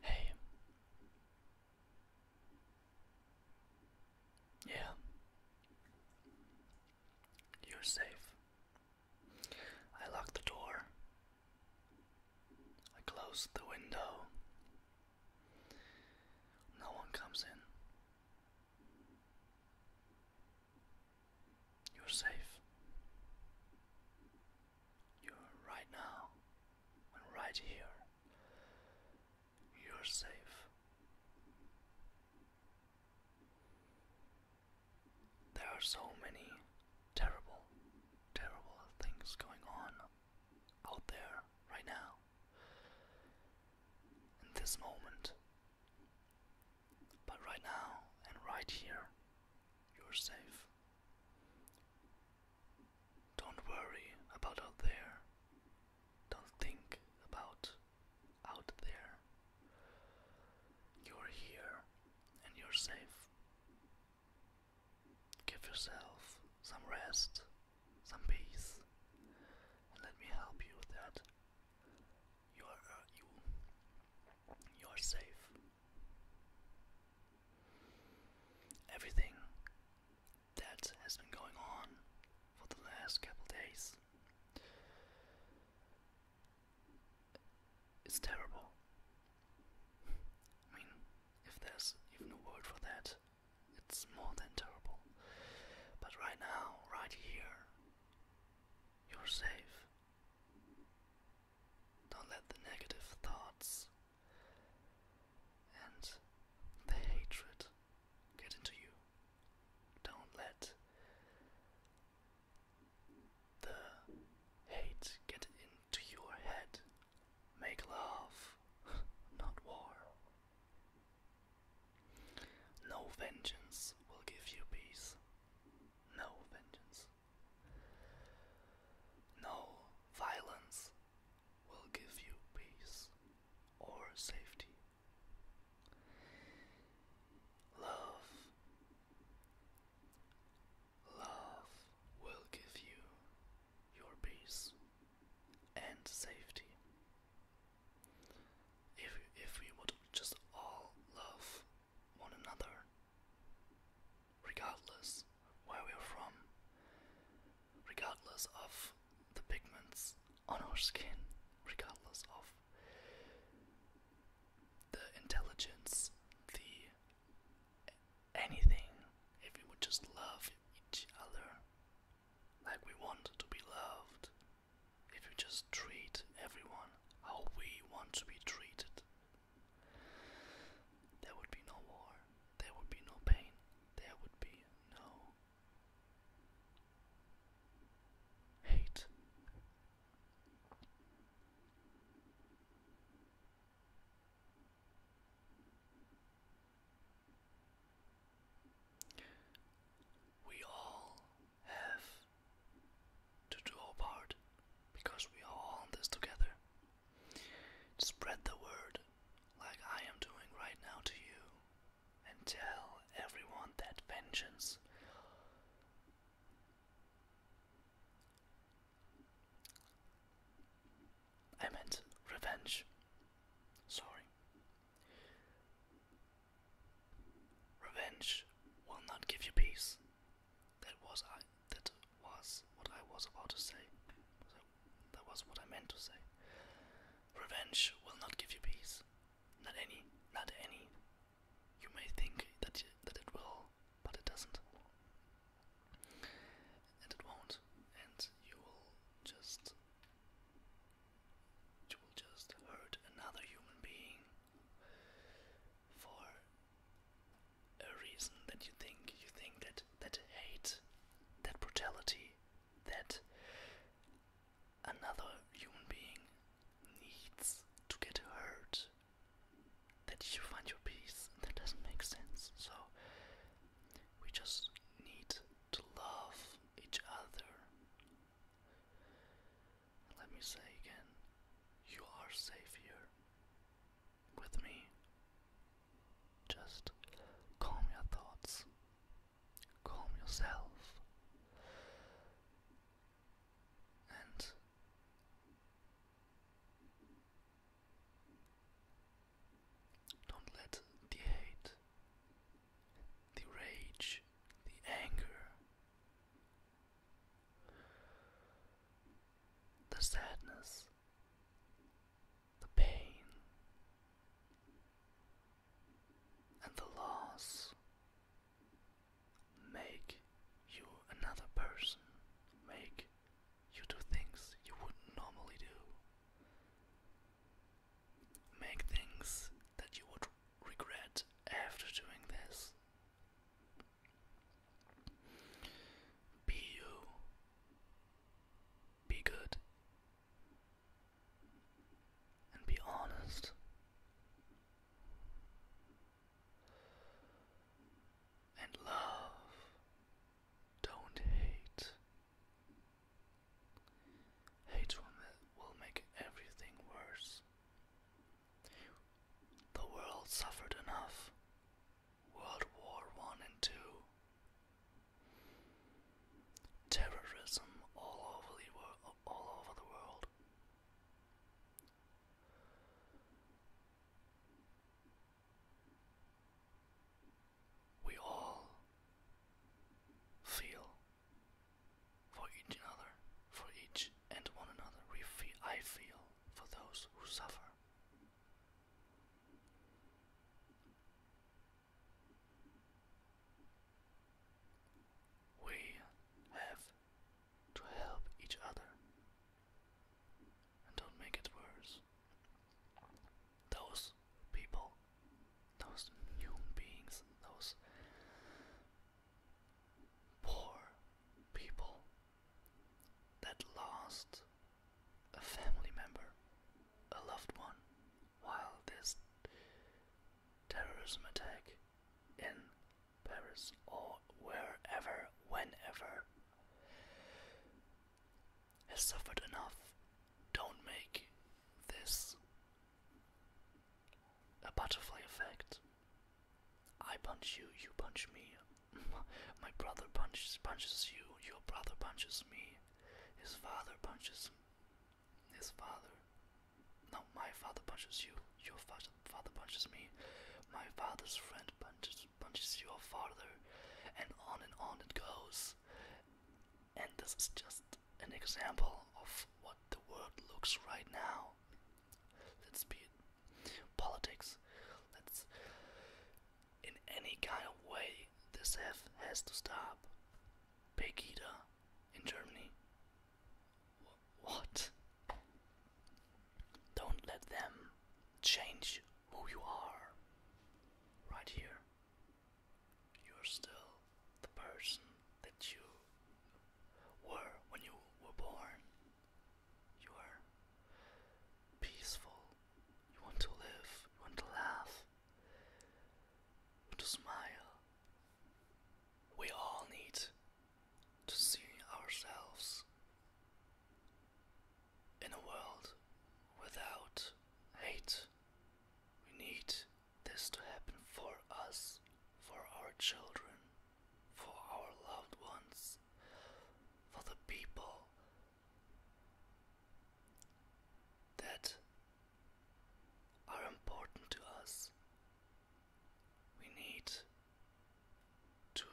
Hey. Yeah. You're safe. I locked the door. I closed the window. No one comes in. You're safe. You're right now and right here. You're safe. There are so many terrible, terrible things going on out there right now. In this moment. But right now and right here, you're safe. Don't worry about out there. Don't think about out there. You're here and you're safe. Give yourself some rest, some peace, and let me help you with that. You are uh, you. You are safe. Everything that has been going on for the last couple days is terrible. I mean, if there's even a word for that, it's more than terrible. But right now, right here, you're safe. Don't let the negative thoughts and the hatred get into you. Don't let the hate get into your head. Make love, not war. No vengeance will give you peace. No vengeance. No violence will give you peace or safety. Love, love will give you your peace and safety. If if we would just all love one another, regardless where we're from, regardless of the pigments on our skin, regardless of the intelligence, the anything, if we would just love each other like we want to be loved, if we just treat everyone how we want to be treated, there would be no war, there would be no pain, there would be no hate. We all have to do our part because we are all on this together. Spread the word like I am doing right now to you and tell everyone that vengeance I meant revenge. Sorry. Revenge will not give you peace. That was I. That was what I was about to say. That was what I meant to say. Revenge will not give you peace. Not any. Not any. You may think that that it will, but it doesn't. And it won't. And you will just. You will just hurt another human being for a reason that you think you think that that hate, that brutality, that another human being needs to get hurt, that you find your peace. That doesn't make sense. So we just need to love each other let me say again, you are safe here with me. Just calm your thoughts, calm yourself, and don't let the hate, the rage, the anger, the sadness, the pain, and the loss make you another person, make you do things you wouldn't normally do, make things that you would regret after doing this. Be you. Be good. And be honest. And love. Don't hate. Hate will make everything worse. The world suffered enough. World War One and Two. Terrorism all over the world, We all feel for each other, for each and one another, I feel for those who suffer. We have to help each other and don't make it worse. Those people, those human beings, those poor people that lost a family member, a loved one, while this terrorism attack in Paris or wherever, whenever has suffered enough. Don't make this a butterfly effect. I punch you, you punch me. My brother punches punches you, your brother punches me. His father punches his father. No, my father punches you, your father father punches me. My father's friend punches punches your father, and on and on it goes. And this is just an example of what the world looks right now. Let's be politics. Let's in any kind of way this have has to stop. Pegida in Germany. what? Don't let them change who you are. Right here you're still the person that you were when you were born. You are peaceful. You want to live. You want to laugh. To smile. We all need to see ourselves in a world without hate. We need this to happen for us, for our children, for our loved ones, for the people that are important to us. We need to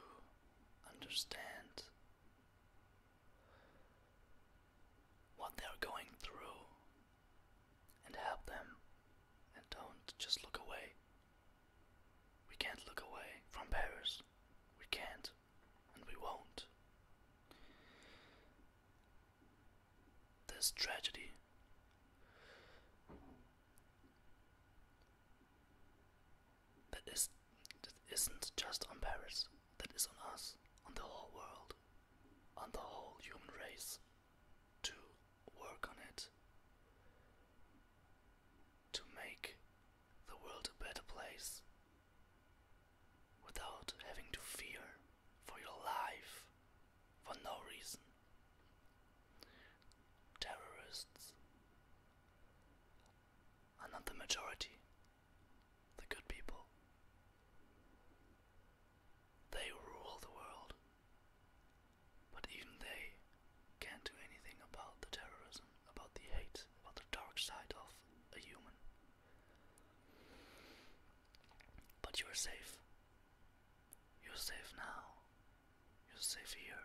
understand what they're going through and help them and don't just look away. We can't look away from Paris. We can't and we won't. This tragedy that is that isn't just on Paris, that is on us, on the whole world, on the whole human race to work on it, to make the world a better place without having to fear for your life for no reason. Terrorists are not the majority, the good people. They rule the world. But even they can't do anything about the terrorism, about the hate, about the dark side of a human. But you're safe. You're safe now. You're safe here.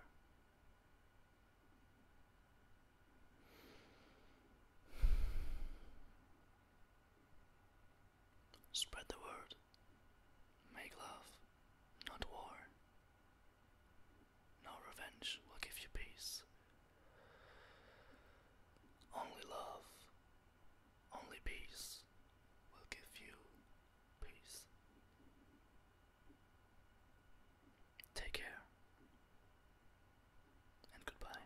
Spread the word. Make love, not war. No revenge will give you peace. Only love, only peace will give you peace. Take care and goodbye.